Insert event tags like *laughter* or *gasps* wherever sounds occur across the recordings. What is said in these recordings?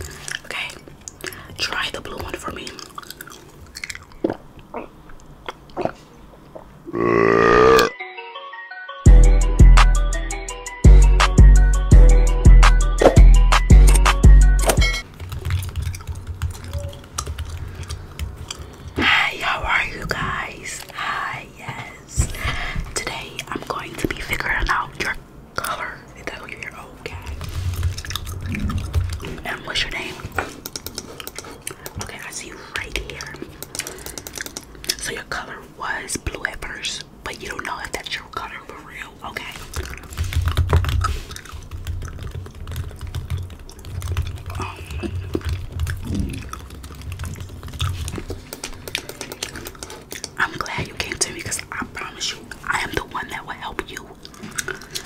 Okay, try the blue one for me. Hi, how are you guys? Hi, yes. Today I'm going to be figuring out your color. Is that you your old And what's your name? Okay, I see you right here. So your color was blue at first, but you don't know if that's your color for real. Okay. Um, I'm glad you came to me because I promise you, I am the one that will help you.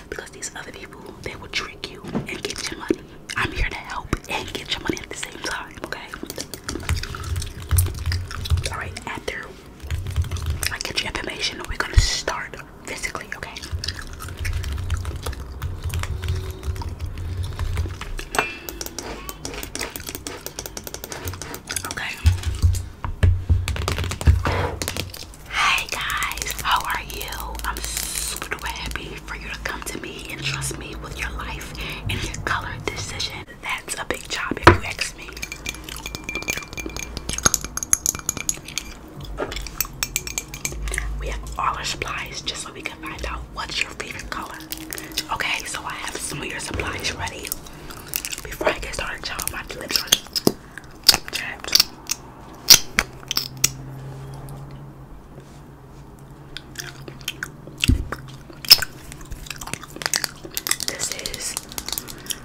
Because these other people, they will trick you and get your money. I'm here to help and get your money at the same time, okay? Alright, after I get your information, we're gonna start physically, okay? Okay. Hey guys, how are you? I'm super duper happy for you to come to me and trust me with your life and your color decision. That's a big job if you ask me. We have all our supplies just so we can find out what's your favorite color. Okay, so I have some of your supplies ready. Before I get started, y'all, my lips are chapped. This is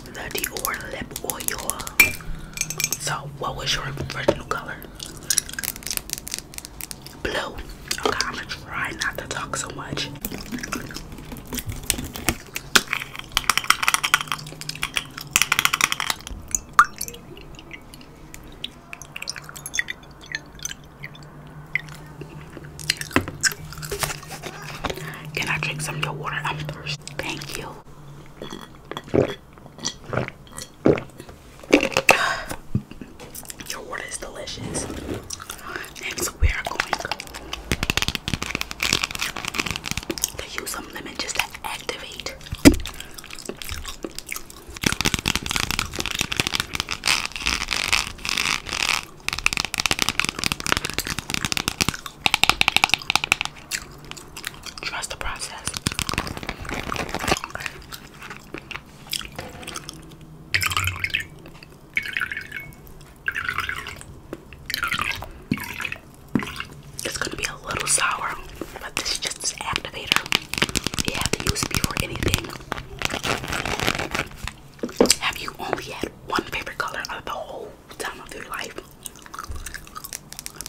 the Dior lip oil. So, what was your original color? Blue. Okay, I'm gonna try not to talk so much. Can I drink some your water? I'm thirsty. Thank you. Your water is delicious next we are going to use some lemon just to activate. Trust the process. It's gonna be a little sour, but this just this activator. You have to use before anything. Have you only had one favorite color of the whole time of your life?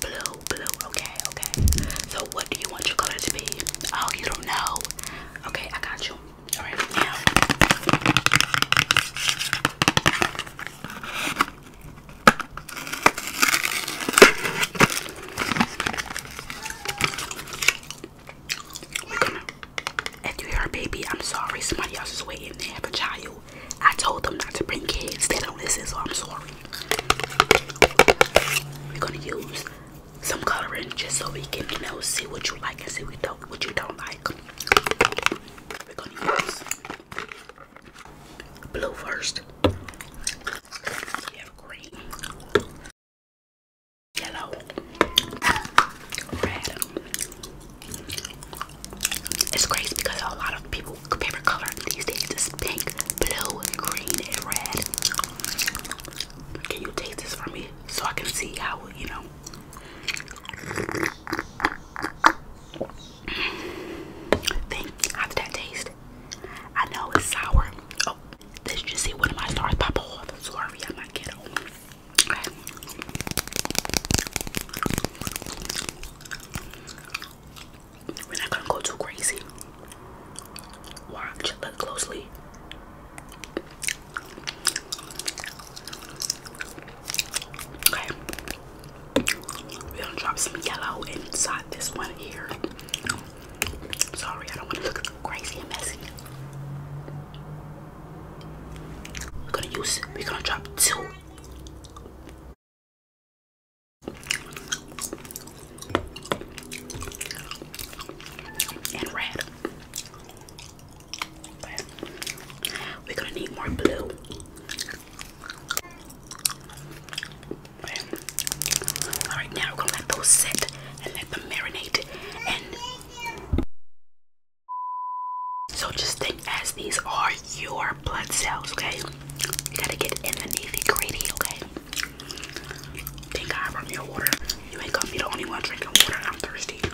Blue, blue, okay, okay. So what do you want your color to be? Oh, you don't know. Okay, I got you if you hear a baby, I'm sorry. Somebody else is waiting. They have a child. I told them not to bring kids. They don't listen, so I'm sorry. We're gonna use some coloring just so we can, know, see what you like and see what you don't like blue first. yellow, red. It's crazy because a lot of people favorite color these days Just pink, blue, green, and red. Can you taste this for me so I can see how you know? Think, how that taste? I know it's sour. Oh, did you see one of my stars pop off? Sorry, I'm not ghetto. We're not gonna go too crazy. Watch, look closely. Okay. We're gonna drop some yellow inside this one here. Sorry, I don't want to look crazy and messy. We're gonna use, we're gonna drop two. And red we're gonna need more blue. all right, now we're gonna let those sit and let them marinate. And so just think as these are your blood cells, okay? You gotta get in the navy gritty, okay? Thank God from your water. You ain't gonna be the only one drinking water. I'm thirsty.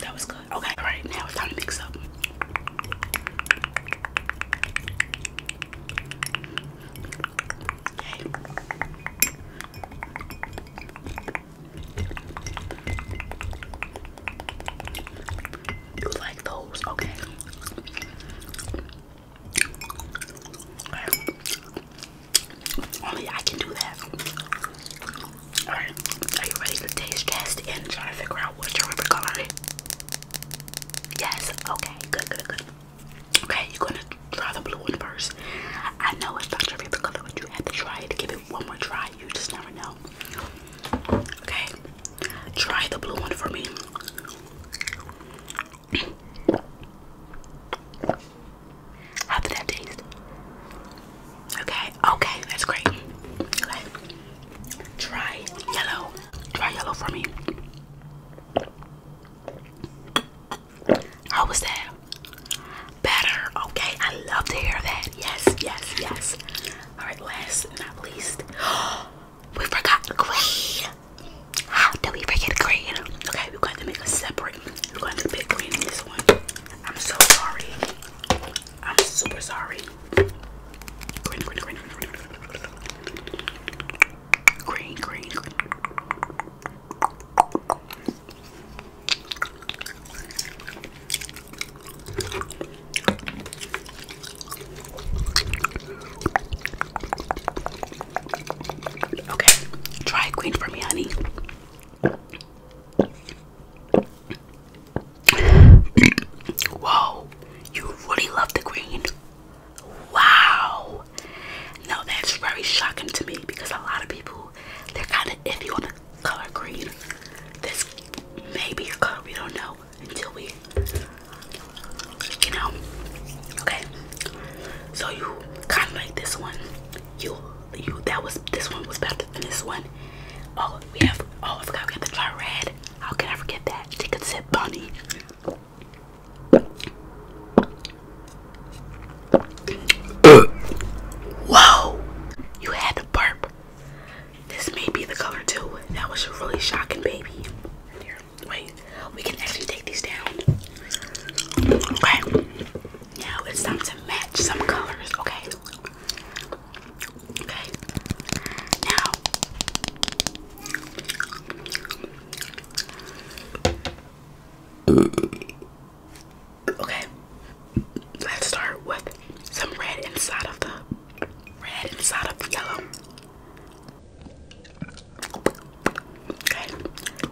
That was good. Okay, all right, now it's time to mix up. Okay. You like those, okay. Only I can do that. Alright, are you ready to taste test and try to figure out what's your favorite color? Yes, okay, good, good, good. Okay, you're gonna try the blue one first. I know it's not your favorite color, but you have to try it. Give it one more try, you just never know. Okay, try the blue one for me. How that taste? Okay, okay, that's great. Okay. Try yellow. Try yellow for me. How was that? Better. Okay, I love to hear that. Yes, yes, yes. Alright, last but not least. *gasps* We forgot green. How do we forget green? Okay, we're going to make a separate. We're going to pick green in this one. I'm so sorry. I'm super sorry. Green, green, green, green, green, green, green. Okay, try green for me, honey. Whoa, you really love the green. Wow. Now that's very shocking to me because a lot of people they're kind of iffy on the color green. This may be a color we don't know until we you know. Okay. So you kind of like this one. You you that was this one was better than this one. Oh, we have oh I forgot we have the dry red. How can I forget that? Chicken a bunny. Bonnie. Whoa! You had to burp. This may be the color too. That was really shocking, baby. Here, wait. We can actually take these down. Okay. Now it's time to match some colors. Okay. Okay. Now Okay. Let's start with some red inside of the red inside of the yellow. Okay.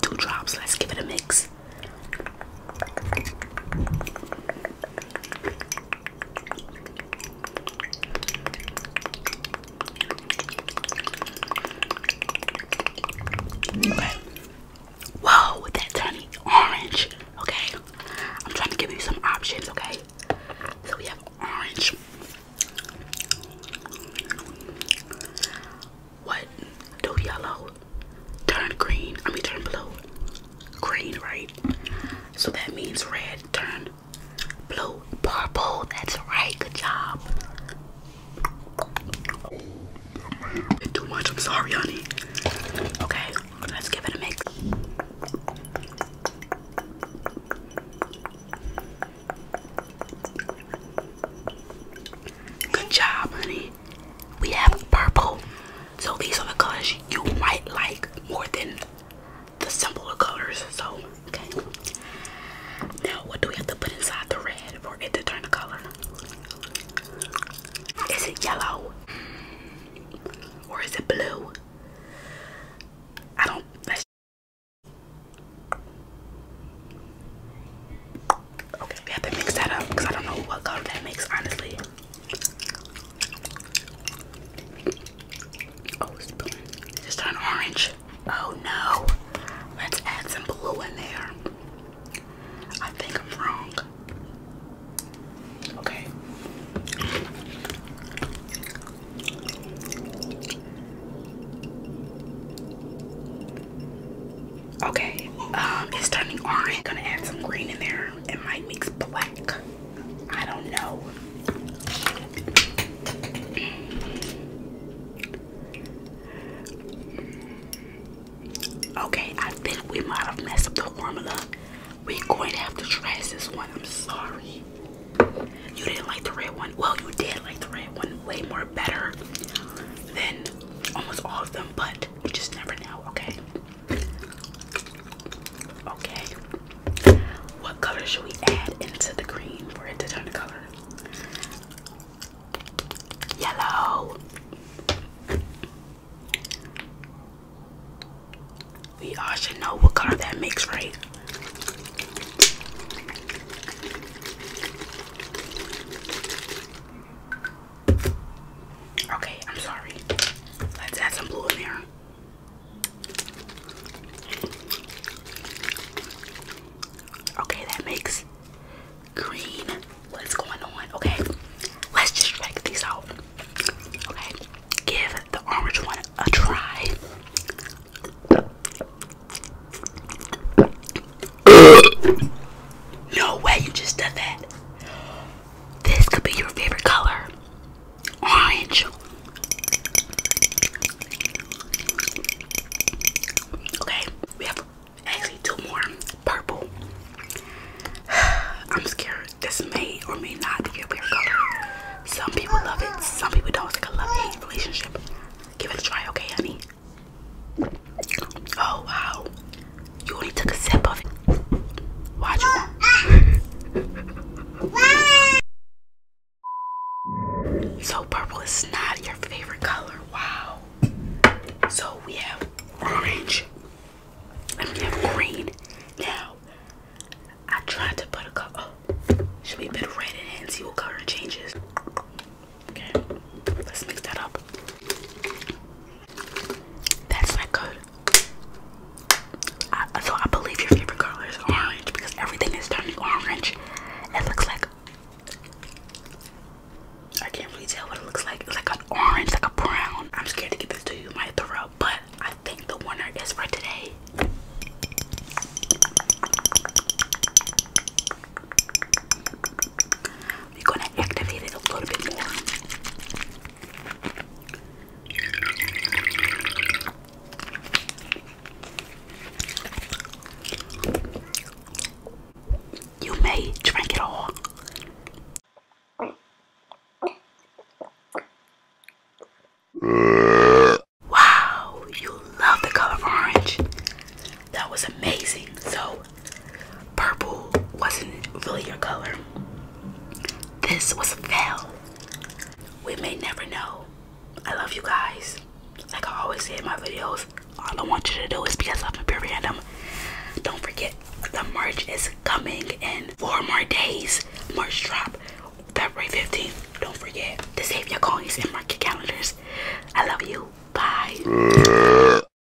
Two drops. Let's give it a mix. Okay. Whoa, that turning orange. Okay. I'm trying to give you some options, okay? So we have orange. What do yellow? turn green, I mean turn blue, green, right? So that means red, turn blue, purple, that's right, good job. Too much, I'm sorry, honey. Okay, let's give it a mix. Good job, honey we have purple. So these are the colors you might like more than the simpler colors. So, okay. Now, what do we have to put inside the red for it to turn the color? Is it yellow? Or is it blue? I don't. okay, we have to mix that up because I don't know what color that makes, honestly. Oh, it's blue. orange. Oh no. Let's add some blue in there. I think I'm wrong. Okay. Okay, um, it's turning orange. Gonna add some green in there brown might mix black. I don't know. Okay, I think we might have messed up the formula. We're going to have to trash this one. I'm sorry. You didn't like the red one. Well, you did like the red one way more better than almost all of them, but you just never know, okay? Okay. What color should we add into the green for it to turn the color? Yellow. We all should know what color that makes, right? Okay, I'm sorry. Let's add some blue in there. Okay, that makes green. What's going on? Okay, let's just check these out. Okay, give the orange one a try. no way, you just did that. This could be your favorite color. Orange. Okay, we have actually two more. Purple. *sighs* I'm scared this may or may not be your favorite color. Some people love it, some people don't. It's like a love-hate relationship. Give it a try, okay, honey? Oh wow. You only took a sip of it. Watch you. so purple is not your favorite color. Wow. So we have orange and we have green. Now I tried to put a color. Oh, should we put red in it see what color changes? Okay, let's mix that up. That's not good. so I believe your favorite color is orange because everything is turning orange. It looks like I can't really tell what it looks like. It's like an orange, like a brown. I'm scared to give this to you, you might throw, but I think the winner is for today we're gonna activate it a little bit more. You may drink it all. Wow, you love the color orange. That was amazing. So, purple wasn't really your color. This was a fail. We may never know. I love you guys. Like I always say in my videos, all I want you to do is be yourself and be random. Don't forget the merch is coming in four more days. Merch drop February 15th. Don't forget to save your coins and market calendars. I love you. Bye.